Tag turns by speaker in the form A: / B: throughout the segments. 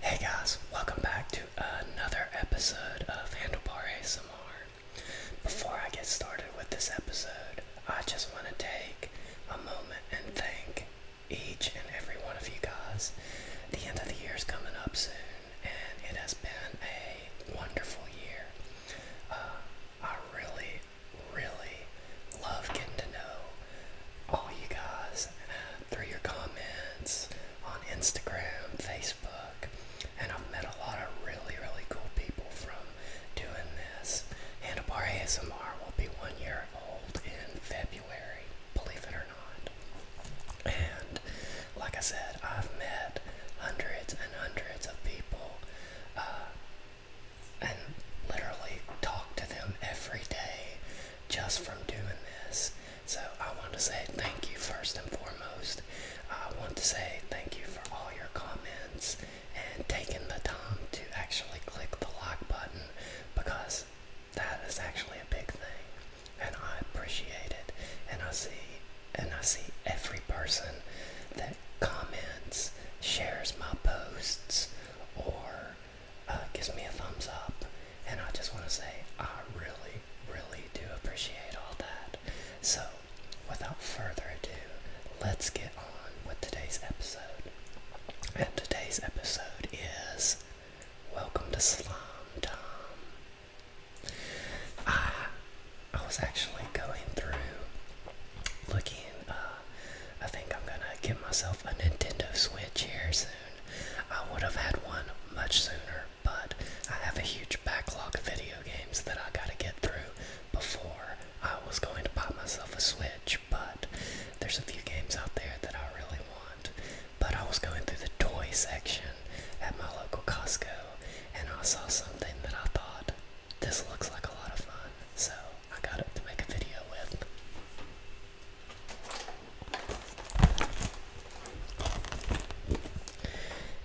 A: Hey guys, welcome back to another episode of Handlebar ASMR. Before I get started with this episode, I just want to take a moment and thank each and every one of you guys. The end of the year is coming up soon, and it has been a wonderful year. Uh, I really, really love getting to know all you guys uh, through your comments on Instagram, Facebook, and I've met a lot of really, really cool people from doing this. And ASMR will be one year old in February, believe it or not. And like I said, I've met hundreds and hundreds of people uh, and literally talk to them every day just from doing this. So I want to say thank you first and foremost. I want to say thank you for all your comments and taking the time to actually click the like button because that is actually a big thing and I appreciate it and I see and I see every person that comments, shares my posts, or uh, gives me a thumbs up. And I just want to say, I really, really do appreciate all that. So, without further ado, let's get on with today's episode. And today's episode is Welcome to Slime Time. I, I was actually going through looking uh, I think I'm gonna get myself a Nintendo Switch here soon. I would have had one much sooner, but I have a huge backlog of video games that I gotta get through before I was going to buy myself a Switch. But there's a few games out there that I really want. But I was going through the toy section at my local Costco and I saw something that I thought this looks like a lot of fun, so I got it to make a video with.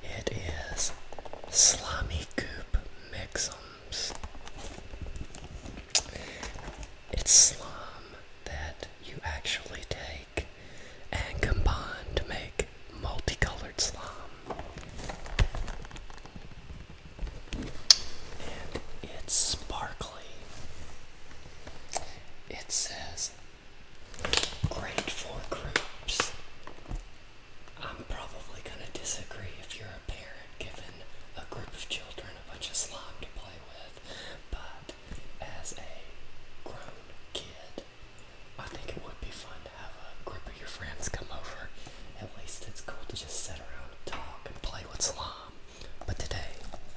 A: It is Slimy Goop Mixums. It's slum that you actually take and combine to make multicolored slum and it's sparkly. It says great for groups. I'm probably going to disagree if you're a parent given a group of children a bunch of slime to play with, but as a grown kid, I think it would be fun have a group of your friends come over. At least it's cool to just sit around and talk and play with slime. But today,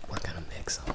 A: we're gonna mix them.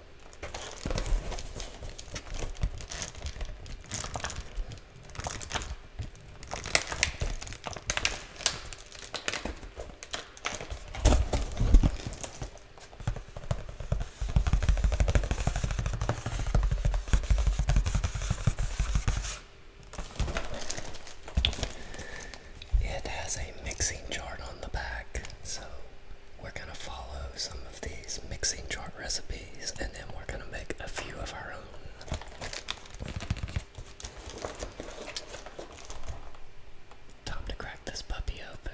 A: It has a mixing chart on the back, so we're going to follow some of these mixing chart recipes and then we're going to make a few of our own. Time to crack this puppy open.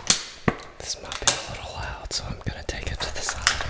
A: This might be a little loud, so I'm going to take it to the side here.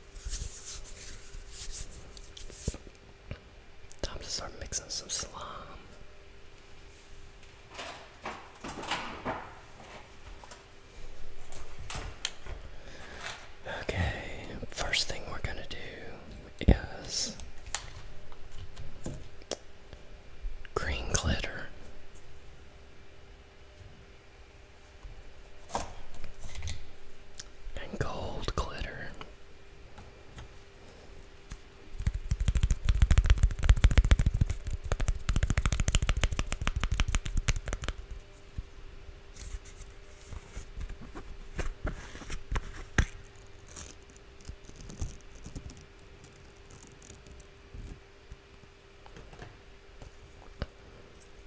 A: Time to start mixing some slime. Okay, first thing we're gonna do is green glitter and gold glitter.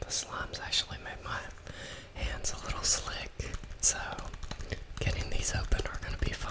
A: The slimes actually made my hands a little slick so getting these open are going to be fun.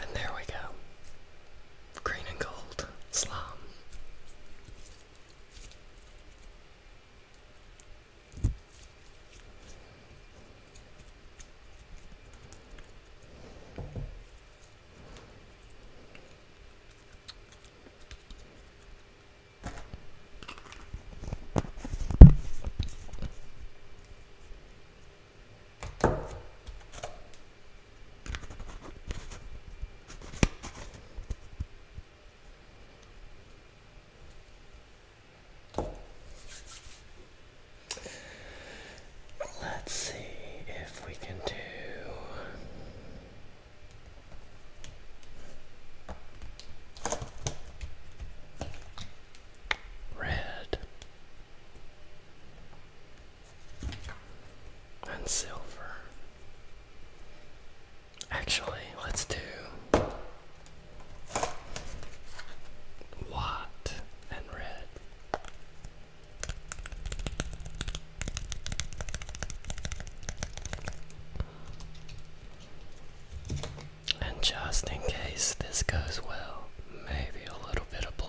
A: And there we go green and gold slime. Let's see if we can do. Red and silver. Actually, let's do white and red. And just in case this goes well, maybe a little bit of blue.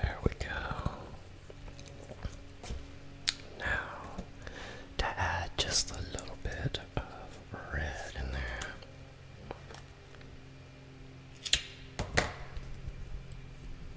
A: There we go. Now, to add just a little bit of red in there.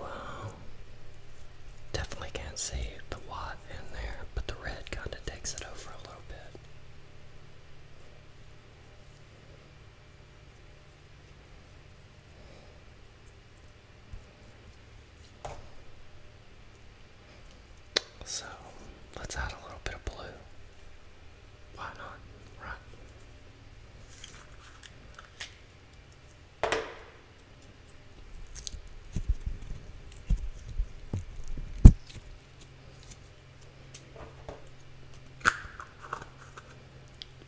A: Wow. Definitely can't see the watt in there, but the red kind of takes it over a little bit. So let's add a little bit of blue. Why not? Right.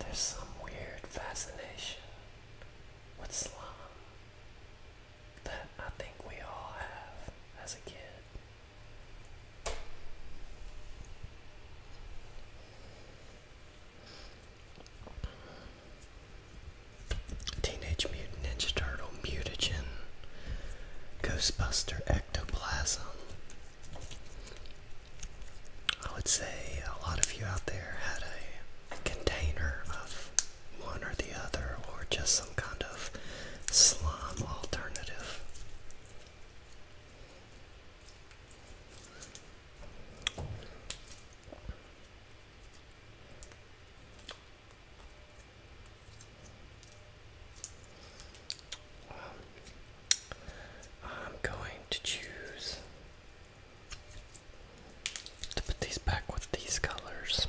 A: There's some weird fascination with slime that I think we all have as a kid. Teenage Mutant Ninja Turtle Mutagen Ghostbuster Ectoplasm. I would say a lot of you out there had a container of one or the other, or just some kind of slime alternative. I'm going to choose to put these back with these colors.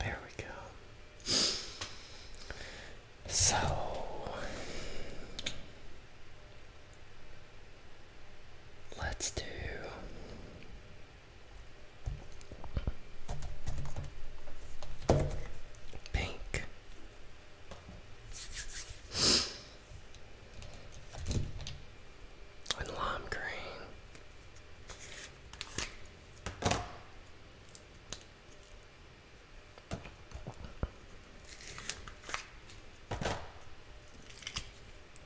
A: There we go. So let's do Pink. And lime green.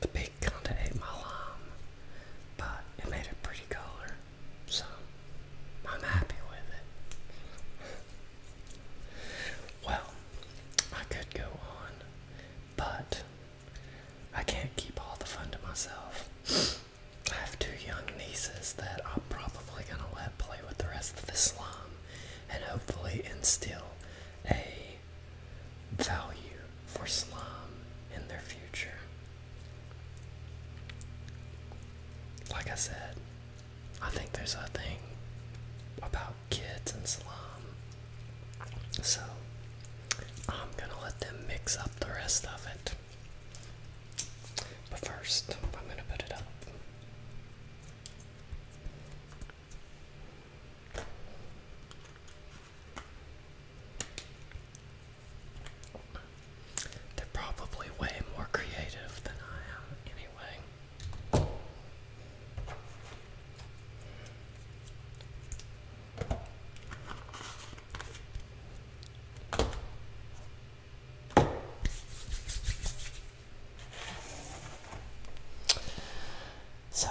A: The pig kinda ate my lime, but it made a pretty color, so I'm happy with it. well, I could go on, but I can't keep all the fun to myself. I have two young nieces that I'm probably going to let play with the rest of the slum and hopefully instill a value for slum in their future. Like I said, I think there's a thing about kids and slum. So, I'm gonna let them mix up the rest of it. But first, I'm going to put it up. They're probably way more creative than I am, anyway. So,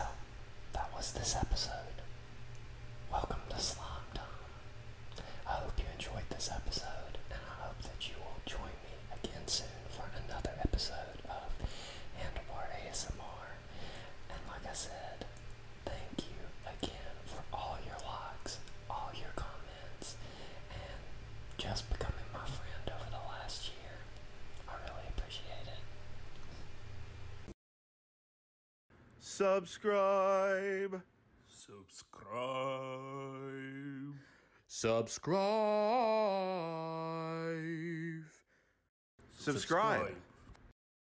A: that was this episode. Welcome to Slomdom. I hope you enjoyed this episode, and I hope that you will join me again soon for another episode of and Handlebar More. And like I said, thank you again for all your likes, all your comments, and just becoming my friend over the last year. I really appreciate it. Subscribe. Subscribe. Subscribe. Subscribe. Subscribe.